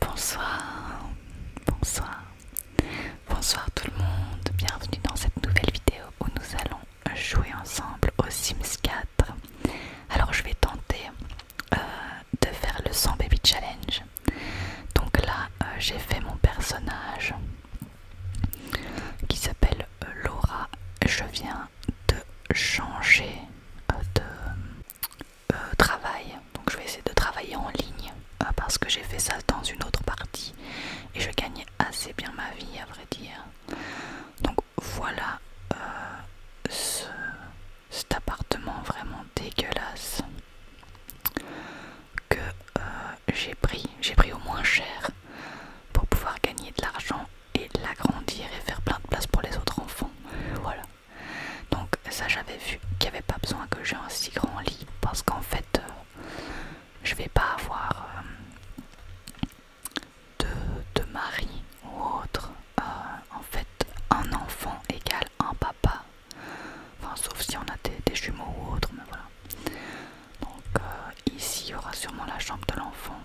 Bonsoir, bonsoir, bonsoir tout le monde, bienvenue dans cette nouvelle vidéo où nous allons jouer ensemble au Sims 4. Alors je vais tenter euh, de faire le 100 baby challenge. Donc là euh, j'ai fait mon personnage qui s'appelle euh, Laura. Je viens de changer de euh, travail. Donc je vais essayer de travailler en ligne euh, parce que j'ai fait ça dans une autre partie et je gagne assez bien ma vie à vrai dire. Donc voilà euh, cet appartement vraiment dégueulasse que j'ai pris. J'ai pris au moins cher pour pouvoir gagner de l'argent et l'agrandir et faire plein de place pour les autres enfants. Voilà. Donc ça j'avais vu qu'il n'y avait pas besoin que j'ai un si grand lit parce qu'en fait euh, je vais pas avoir euh, de, mari ou autre. Euh, en fait un enfant égale un papa. Enfin sauf si on a des, jumeaux ou autre mais voilà. Donc ici il y aura sûrement la chambre de l'enfant.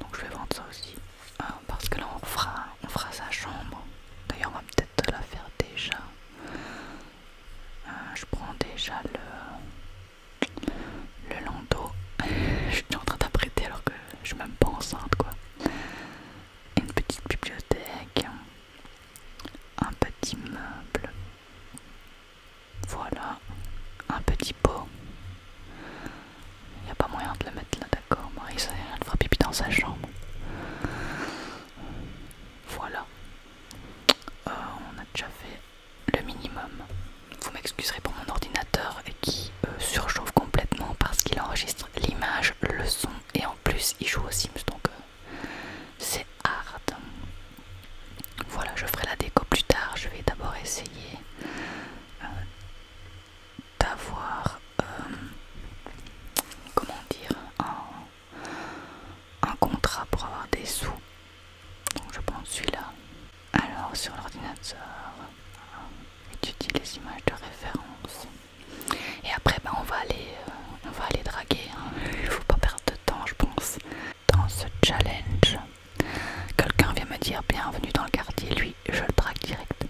Donc je vais vendre ça aussi. Euh, parce que là on fera, on fera sa chambre. D'ailleurs on va peut-être la faire déjà. Euh, je prends déjà le, le landau. je suis en train d'apprêter alors que je suis même pas enceinte quoi. Une petite bibliothèque. Un petit meuble. Voilà. Un petit pot. Il n'y a pas moyen de le mettre là, d'accord. Marisa, il fera pipi dans sa chambre. Voilà. Euh, on a déjà fait le minimum. Vous m'excuserez pour mon ordinateur qui euh, surchauffe complètement parce qu'il enregistre l'image, le son et en plus il joue au Sims donc euh, c'est hard. Voilà, je ferai la déco plus tard. Je vais d'abord essayer d'avoir, euh, comment dire, un, contrat pour avoir des sous. Donc je prends celui-là. Alors sur l'ordinateur, étudie euh, les images de référence. Et après, ben, on va aller, euh, on va aller draguer. Hein. Il faut pas perdre de temps, je pense. Dans ce challenge, quelqu'un vient me dire bienvenue dans le quartier. Lui, je le drague direct.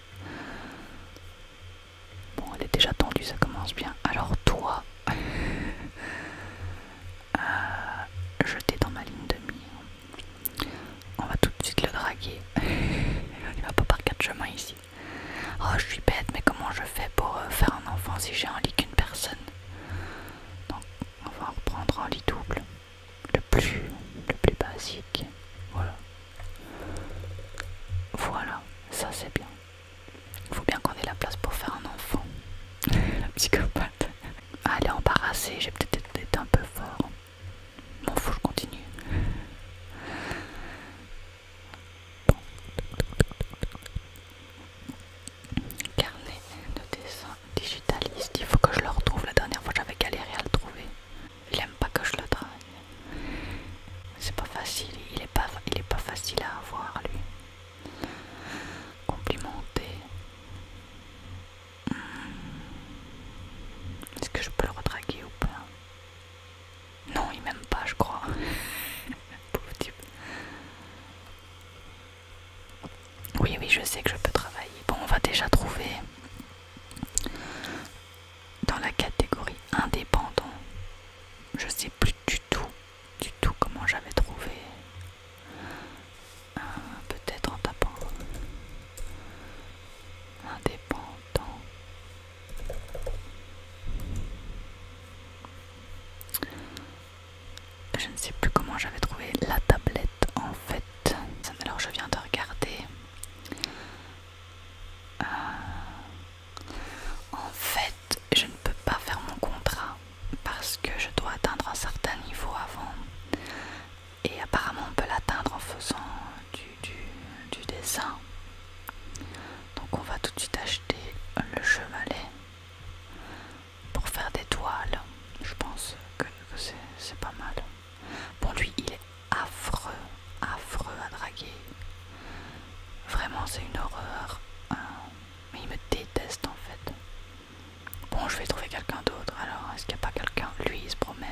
Bon, elle est déjà tendue, ça commence bien. Alors toi, euh, je t'ai dans ma ligne de mire. On va tout de suite le draguer. on va pas par quatre chemins ici. Oh, je suis bête, mais comment je fais pour euh, faire un enfant si j'ai un lit qu'une personne Donc, on va reprendre un lit double. Le plus, le plus basique. Voilà. Voilà, ça c'est bien. Il faut bien qu'on ait la place pour faire un enfant. la psychopathe. Ah, elle est embarrassée, j'ai peut-être été un peu fort. faut que je continue. Carnet de dessin digitaliste, il faut que je le retrouve. La dernière fois j'avais galéré à le trouver. Il aime pas que je le drague. C'est pas facile, il est pas, facile à avoir lui. Complimenté. Hmm. Est-ce que je peux le redraguer ou pas Non, il m'aime pas, je crois. Pauvre type. Oui, oui, je sais que je peux travailler. Bon, on va déjà trouver dans la catégorie indépendant. Je sais plus du tout, du tout comment j'avais trouvé. Euh, peut-être en tapant indépendant. Je ne sais plus comment j'avais trouvé la tablette en fait. Alors je viens de regarder. Euh, en fait, je ne peux pas faire mon contrat parce que je dois atteindre un certain niveau avant. Et apparemment, on peut l'atteindre en faisant du, dessin. Donc, on va tout de suite acheter le chevalet pour faire des toiles. Je pense que c'est pas mal. Bon lui, il est affreux, affreux à draguer. Vraiment, c'est une horreur. Euh, mais il me déteste en fait. Bon, je vais trouver quelqu'un d'autre. Alors, est-ce qu'il n'y a pas quelqu'un Lui, il se promène.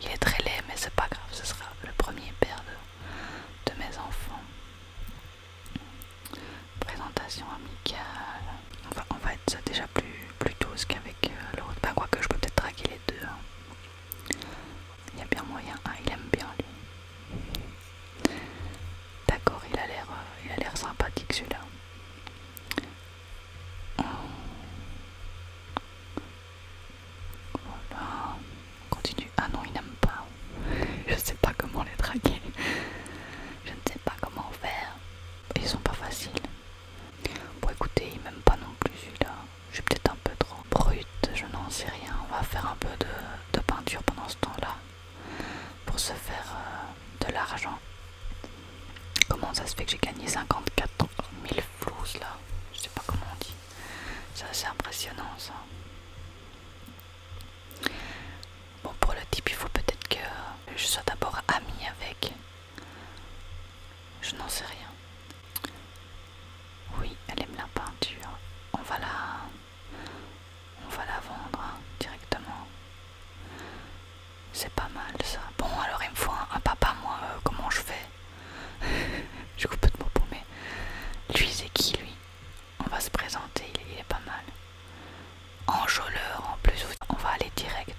Il est très laid, mais c'est pas grave. Ce sera le premier père de mes enfants. Présentation amicale. En fait, c'est déjà plus, douce qu'avec euh, l'autre Bah, quoi que je peux peut-être traquer les deux. Hein. Il y a bien moyen. Ah, il aime bien lui. D'accord, il a l'air euh, sympathique celui-là. Voilà. On continue. Ah non, il n'aime pas. Je sais pas comment les traquer. Je ne sais pas comment faire. Ils sont pas faciles. Bon écoutez, il m'aime pas non plus celui-là. Je suis peut-être un peu trop brute, je n'en sais rien. On va faire un peu de, peinture pendant ce temps-là pour se faire euh, de l'argent. Comment ça se fait que j'ai gagné 54 000 flous là Je sais pas comment on dit. C'est assez impressionnant ça. Bon pour le type il faut peut-être que je sois d'abord ami avec je n'en sais rien. Oui, elle aime la peinture. On va la... On va la vendre hein, directement. C'est pas mal ça. Bon alors il me faut un, papa moi, euh, comment je fais Je coupe de pour mais... Lui c'est qui lui On va se présenter, il est pas mal. Enjôleur en plus, on va aller direct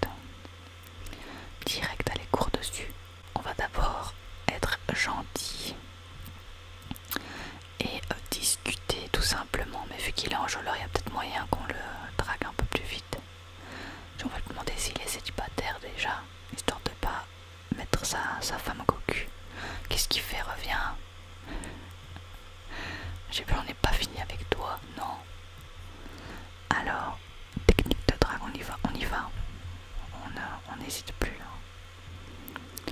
direct à les cours dessus. On va d'abord être gentil et euh, discuter tout simplement. Mais vu qu'il est enjôleur, il y a peut-être moyen qu'on le drague un peu plus vite. On va lui demander s'il est célibataire déjà, histoire tente pas mettre sa, femme au cocu. Qu'est-ce qu'il fait Reviens. J'ai plus, on n'est pas fini avec toi, non Alors, technique de drague, on y va, on y va. On euh, n'hésite plus. là. Hein.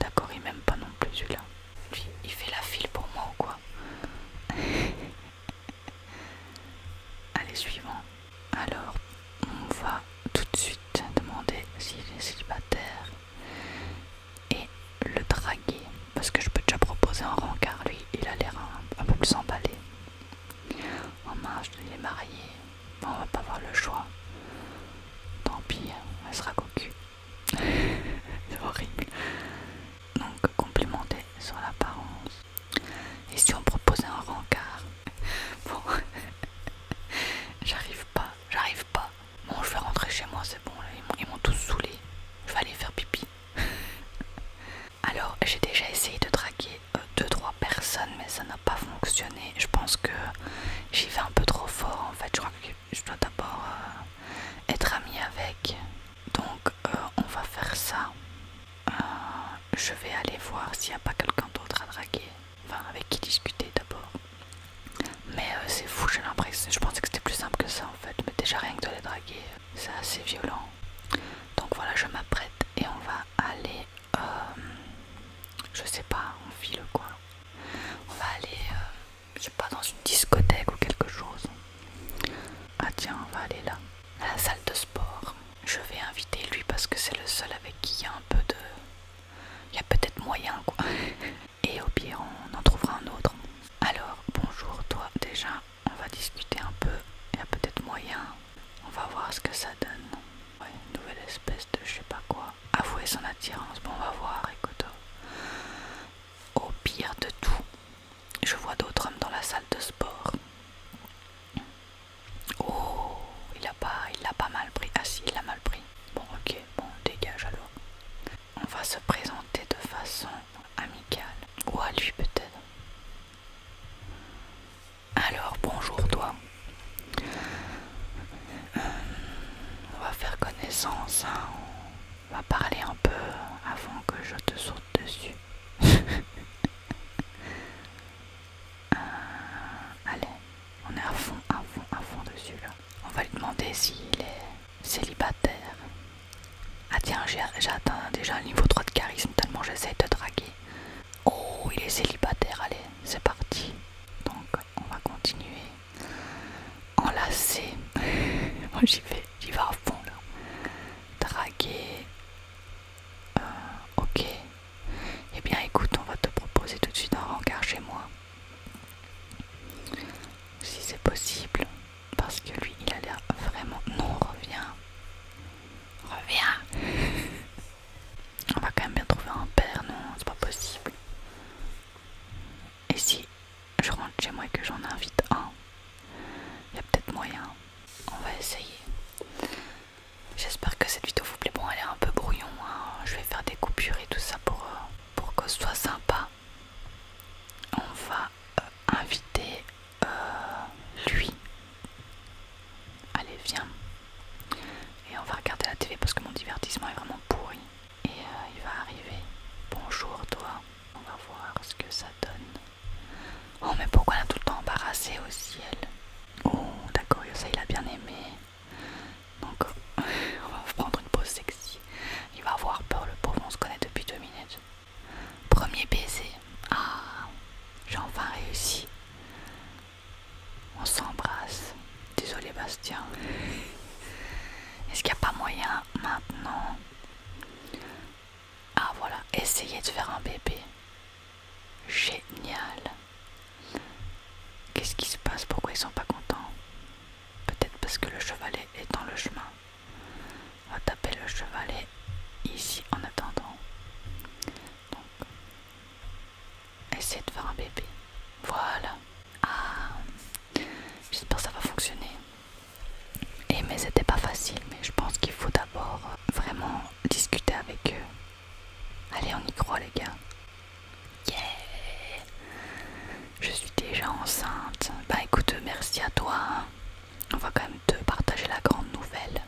D'accord, il m'aime pas non plus celui-là. il fait la file pour moi ou quoi Allez, suivant. Alors, on va tout de suite demander s'il est célibataire et le draguer parce que je peux déjà proposer un rencard, lui il a l'air un, peu plus emballé. En marge, de les marié, on va pas avoir le choix. Tant pis, elle sera cocu. C'est horrible. Donc complimenter sur l'apparence. Et si on proposait un rencard Bon, j'arrive pas, j'arrive pas. Bon, je vais rentrer chez moi, c'est bon, là. ils m'ont tous saoulé. Je vais aller faire pipi. Alors j'ai déjà essayé de draguer 2-3 euh, personnes mais ça n'a pas fonctionné. Je pense que j'y vais un peu trop fort en fait. Je crois que je dois d'abord euh, être amie avec. Donc euh, on va faire ça. je vais aller voir s'il n'y a pas quelqu'un d'autre à draguer. Enfin avec qui discuter d'abord. Mais c'est fou, j'ai l'impression. Je pensais que c'était plus simple que ça en fait. Mais déjà rien que de les draguer, c'est assez violent. Donc voilà, je m'apprête et on va aller, euh, je sais pas, on file quoi. On va aller, euh, je sais pas, dans une discothèque ou quelque chose. Ah tiens, on va aller là, à la salle de sport. Je vais inviter lui parce que c'est le seul avec qui il y a un peu de... Il y a peut-être moyen quoi. Et au pire, on en trouvera un autre. Alors, bonjour toi déjà, on va discuter un peu, il y a peut-être moyen, on va voir ce que ça donne. Ouais, une nouvelle espèce de je sais pas quoi. Avouer son attirance, bon on va voir, écoute. Au pire de tout, je vois d'autres hommes dans la salle de sport. Oh, il a pas, il l'a pas mal pris. Ah si, il a mal pris. Bon, ok, bon, dégage alors. On va se présenter de façon amicale. Ou à lui peut-être. Alors, bonjour toi. Euh, on va faire connaissance, hein. on va parler un peu avant que je te saute dessus. Euh, allez, on est à fond, à fond, à fond dessus là. On va lui demander s'il est célibataire. Ah tiens, j'ai atteint déjà un niveau 3 de charisme tellement j'essaie de draguer. Oh, il est célibataire, allez, c'est parti. Donc, on va continuer. Enlacé j'y vais, j'y vais à fond là. Draguer. Euh, ok. Eh bien écoute, on va te proposer tout de suite un rencard chez moi. Si c'est possible parce que lui il a l'air vraiment non reviens reviens on va quand même bien trouver un père non c'est pas possible et si je rentre chez moi et que j'en invite un il y a peut-être moyen on va essayer j'espère que cette vidéo vous plaît bon elle est un peu brouillon hein. je vais faire des coupures et tout ça pour, euh, pour que ce soit sympa on va inviter euh, invité euh, lui. Allez, viens. Et on va regarder la télé parce que mon divertissement est vraiment pourri. Et euh, il va arriver. Bonjour toi. On va voir ce que ça donne. Oh mais pourquoi elle a tout le temps embarrassé au ciel Oh d'accord, ça il a bien aimé. Donc on va prendre une pause sexy. Il va avoir peur le pauvre, on se connaît depuis deux minutes. Premier baiser. Ah, j'ai enfin réussi. On s'embrasse. Désolé Bastien. Est-ce qu'il n'y a pas moyen maintenant Ah voilà, essayez de faire un bébé. Génial. Qu'est-ce qui se passe Pourquoi ils sont pas contents Peut-être parce que le chevalet est dans le chemin. On va taper le chevalet ici en attendant. Donc, essayez de faire un bébé. Voilà. Ah, j'espère que ça va fonctionner. Et mais c'était pas facile, mais je pense qu'il faut d'abord euh, vraiment discuter avec eux. Allez, on y croit les gars. Yeah Je suis déjà enceinte. Bah écoute, merci à toi. Hein on va quand même te partager la grande nouvelle.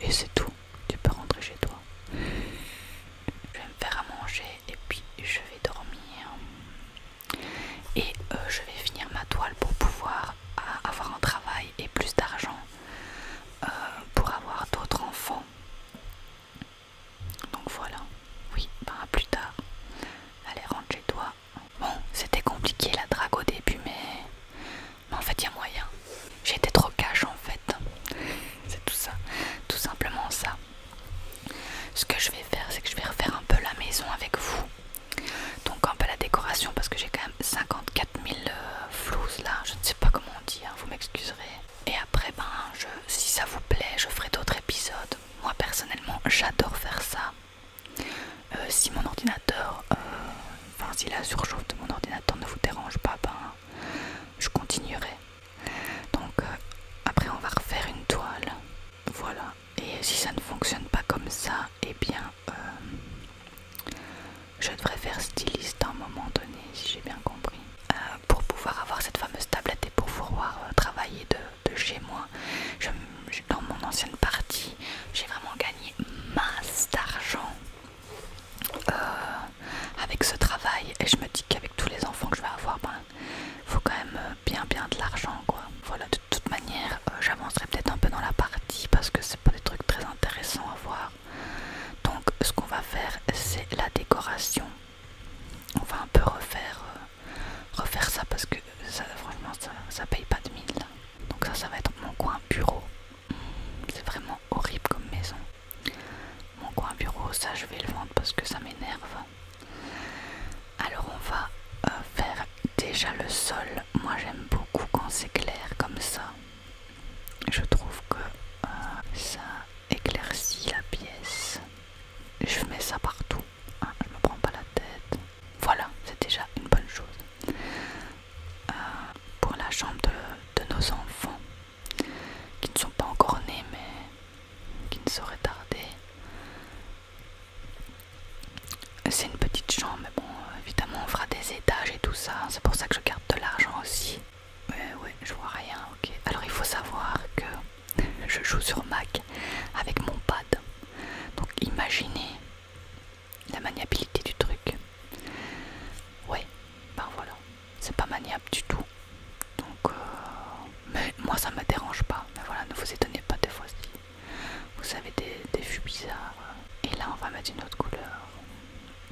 Et, c'est tout. Tu peux rentrer chez toi. Je vais me faire à manger et puis je vais dormir. Et euh, je vais finir ma toile pour pouvoir euh, avoir un travail et plus d'argent euh, pour avoir d'autres enfants. Donc voilà. Oui, ben, à plus tard. Allez, rentre chez toi. Bon, c'était compliqué la drague au début, mais, en fait, il y a moyen. J'étais trop cash en fait. C'est tout ça, tout simplement ça. Ce que je vais faire, c'est que je vais refaire un peu la maison avec vous. Donc un peu la décoration parce que j'ai quand même 54 000 euh, là, je ne sais pas comment dire, hein, vous m'excuserez. Et après, ben, je, si ça vous plaît, je ferai d'autres épisodes. Moi personnellement, j'adore faire ça. Euh, si mon ordinateur, euh, enfin si la surchauffe de mon ordinateur ne vous dérange pas, ben je continuerai. Donc euh, après on va refaire une toile, voilà. Et si ça ne fonctionne pas comme ça, et eh bien je devrais faire styliste à un moment donné, si j'ai bien compris, pour pouvoir avoir cette fameuse tablette et pour pouvoir travailler de de chez moi. dans mon ancienne partie, j'ai vraiment gagné masse d'argent euh, avec ce travail. Et je me dis qu'avec tous les enfants que je vais avoir, il ben, faut quand même euh, bien bien de l'argent. Voilà, de toute manière, euh, j'avancerai peut-être un peu dans la partie parce que c'est pas des trucs très intéressants à voir. Donc ce qu'on va faire, c'est la décoration. On va un peu refaire refaire ça parce que ça, franchement ça, paye pas de mille. Donc ça ça va être mon coin bureau. C'est vraiment horrible comme maison. Mon coin bureau, ça je vais le vendre parce que ça m'énerve. Alors on va euh, faire déjà le sol. Moi j'aime beaucoup quand c'est clair comme ça. Je trouve que euh, ça éclaircit la pièce. Je mets ça partout. Ah, je me prends pas la tête. Voilà, c'est déjà une bonne chose. Euh, pour la chambre de, nos enfants, qui ne sont pas encore nés, mais qui ne sauraient tarder. C'est une petite chambre, mais bon, évidemment, on fera des étages et tout ça. C'est pour ça que je garde de l'argent aussi. Oui, ouais, je vois rien, ok. Alors, il faut savoir que je joue sur Mac avec mon pad. Donc, imaginez la maniabilité du truc. Ouais, ben voilà, c'est pas maniable du tout. Donc, euh, mais moi ça me dérange pas. Mais voilà, ne vous étonnez pas des fois si vous avez des, des bizarres. Et là, on va mettre une autre couleur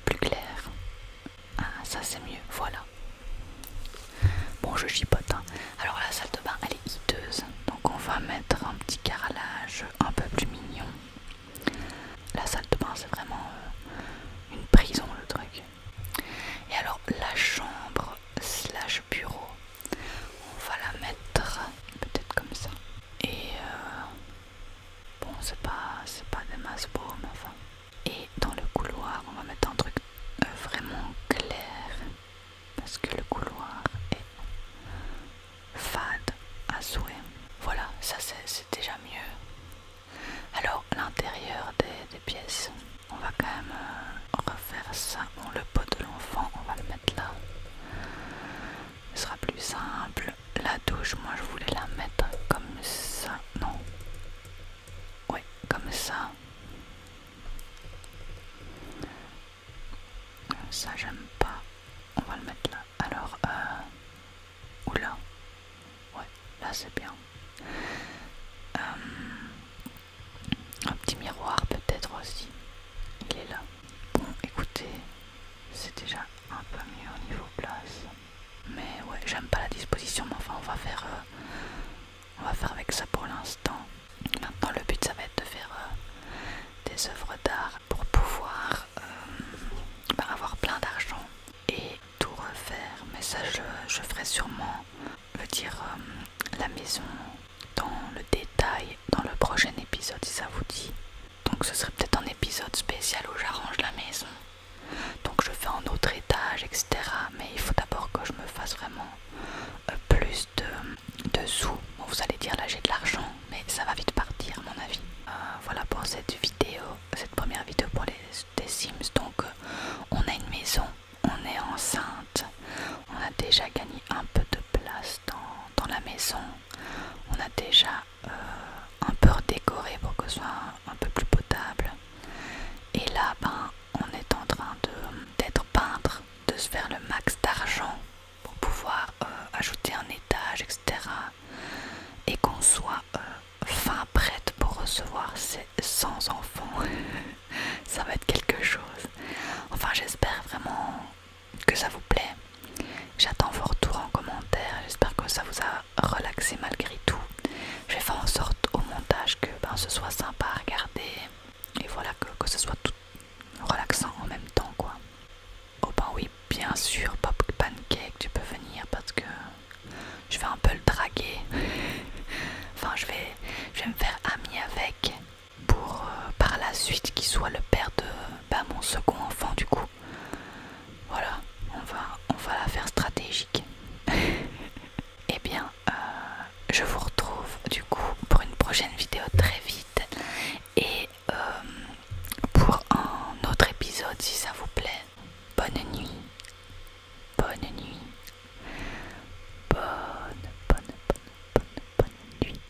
plus claire. Ah, ça c'est mieux, voilà. Bon, je chipote, hein. Alors la salle de bain elle est hideuse, donc on va mettre un petit carrelage un peu plus mignon. La salle de bain c'est vraiment euh, une prison le truc. Et alors la chambre slash bureau, on va la mettre peut-être comme ça. Et euh, bon c'est pas c'est pas des masses enfin. Et dans le couloir on va mettre un truc euh, vraiment clair parce que le couloir est fade à souhait. Voilà, ça c'est déjà mieux. Alors l'intérieur des, pièces, on va quand même euh, refaire ça. Bon, le pot de l'enfant, on va le mettre là. Ce sera plus simple. La douche, moi je voulais la mettre comme ça. Non. Oui, comme ça. Ça j'aime pas. On va le mettre là. Alors, euh, Ou là. Ouais, là c'est bien. Euh, un petit miroir peut-être aussi. Il est là. Bon, écoutez, c'est déjà un peu mieux au niveau place. Mais ouais, j'aime pas la disposition, mais enfin on va faire, euh, on va faire avec ça pour l'instant. Maintenant, le but ça va être de faire euh, des œuvres d'art pour pouvoir euh, bah, avoir plein d'argent et tout refaire. Mais ça, je, ferai sûrement, le dire, euh, la maison dans le détail dans le prochain épisode si ça vous dit. Donc, ce serait peut-être un épisode spécial où j'arrange la maison. Donc, je fais un autre étage, etc. Mais il faut d'abord que je me fasse vraiment euh, plus de, sous. vous allez dire là j'ai de l'argent, mais ça va vite partir à mon avis. Euh, voilà pour cette vidéo, cette première vidéo pour les Sims. Donc euh, on a une maison, on est enceinte, on a déjà gagné un peu de place dans, la maison, on a déjà un peu redécoré pour que ce soit un, peu plus potable. Et là, ben, on est en train d'être peintre, de se faire le max d'argent pour pouvoir euh, ajouter un étage, etc. Et qu'on soit euh, fin prête pour recevoir ces 100 enfants. ça va être quelque chose. Enfin, j'espère vraiment que ça vous plaît. J'attends vos retours en commentaire. J'espère que ça vous a relaxé malgré tout. Je vais faire en sorte au montage que ben, ce soit sympa à regarder. Et voilà, que, que ce soit tout relaxant en même temps quoi. Oh ben oui bien sûr Pop Pancake tu peux venir parce que je vais un peu le draguer. enfin je vais, je me faire ami avec pour euh, par la suite qu'il soit le père de pas bah, mon second enfant du coup. Voilà, on va, on va la faire stratégique. et eh bien, euh, je vous retrouve du coup pour une prochaine vidéo très vite et euh, pour un autre épisode si ça vous plaît. Bonne nuit. Bonne nuit. Bonne, bonne, bonne, bonne, bonne nuit.